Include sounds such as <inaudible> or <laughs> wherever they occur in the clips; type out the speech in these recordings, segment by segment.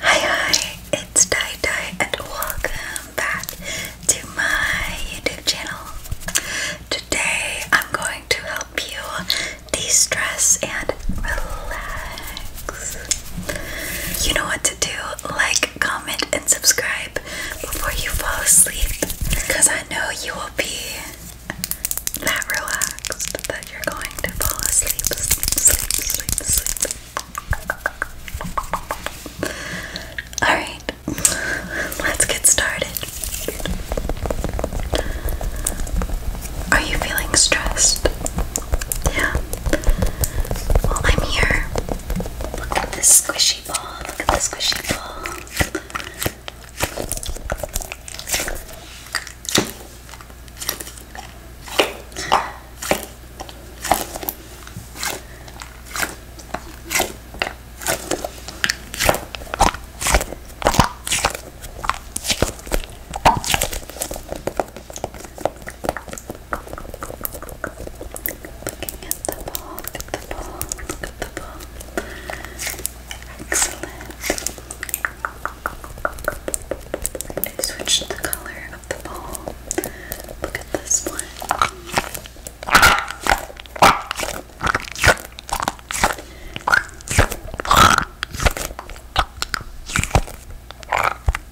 Hi hi, it's Dai and welcome back to my YouTube channel. Today I'm going to help you de-stress and relax. You know what to do. Like, comment, and subscribe before you fall asleep. Because I know you will be that relaxed that you're going to fall asleep. Sleep, sleep, sleep, Alright, <laughs> let's get started. Are you feeling stressed? Yeah. Well, I'm here. Look at this squishy ball. Look at this squishy ball. Looking at the ball, look at the ball, look at the ball. Excellent. I switched the color of the ball. Look at this one.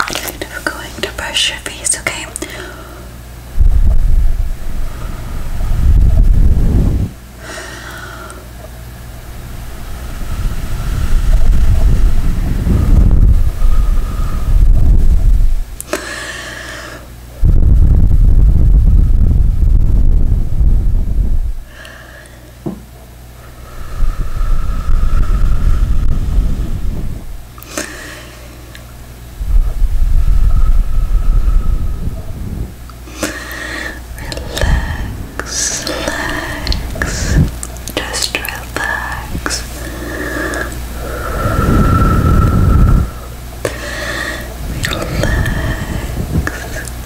I'm going to brush your face, okay? Relax, relax, just relax. Relax.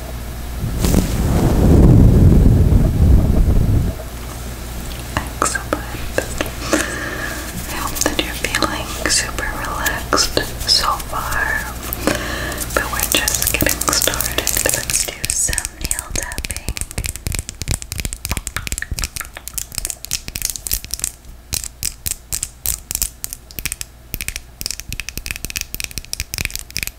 Excellent. I hope that you're feeling super relaxed so far. But we're just getting started. Let's do some nail tapping.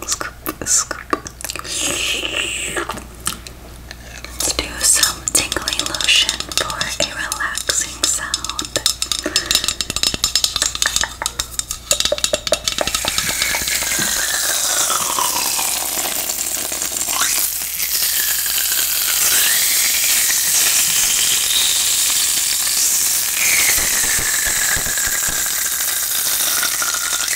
Let's do some tingly lotion for a relaxing sound.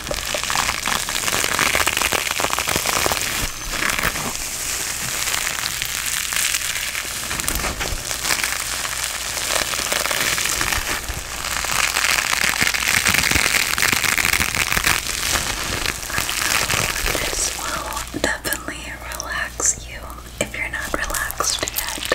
I This will definitely relax you if you're not relaxed yet.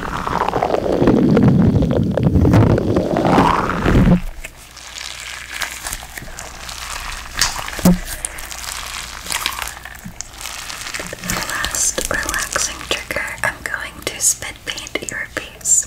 The last relaxing trigger, I'm going to spit paint your face.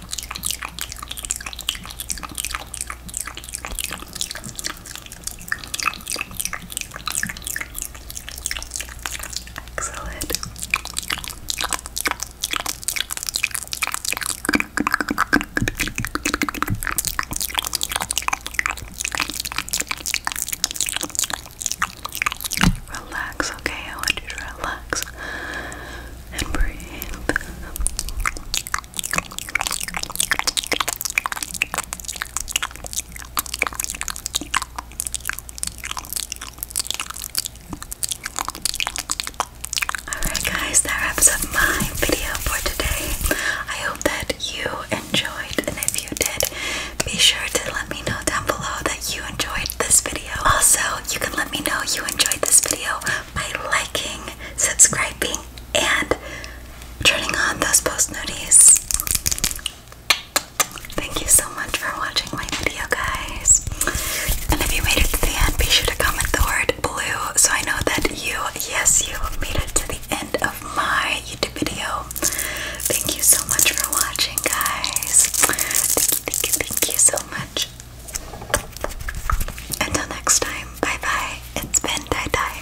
Excellent. Relax, okay? I want you to relax and breathe. Alright, guys, that wraps up my video for today. I hope that you enjoyed, and if you did, be sure to let me know down below that you enjoyed this video. Also, you can let me know you enjoyed this video by liking, subscribing, and turning on those post notices. Thank you so much for watching my video, guys. And if you made it to the end, be sure to comment the word blue so I know that you, yes, you made it to the end of my YouTube video. Thank you so much for watching, guys. Thank you, thank you, thank you so much. Until next time, bye bye. It's been Dai Dai.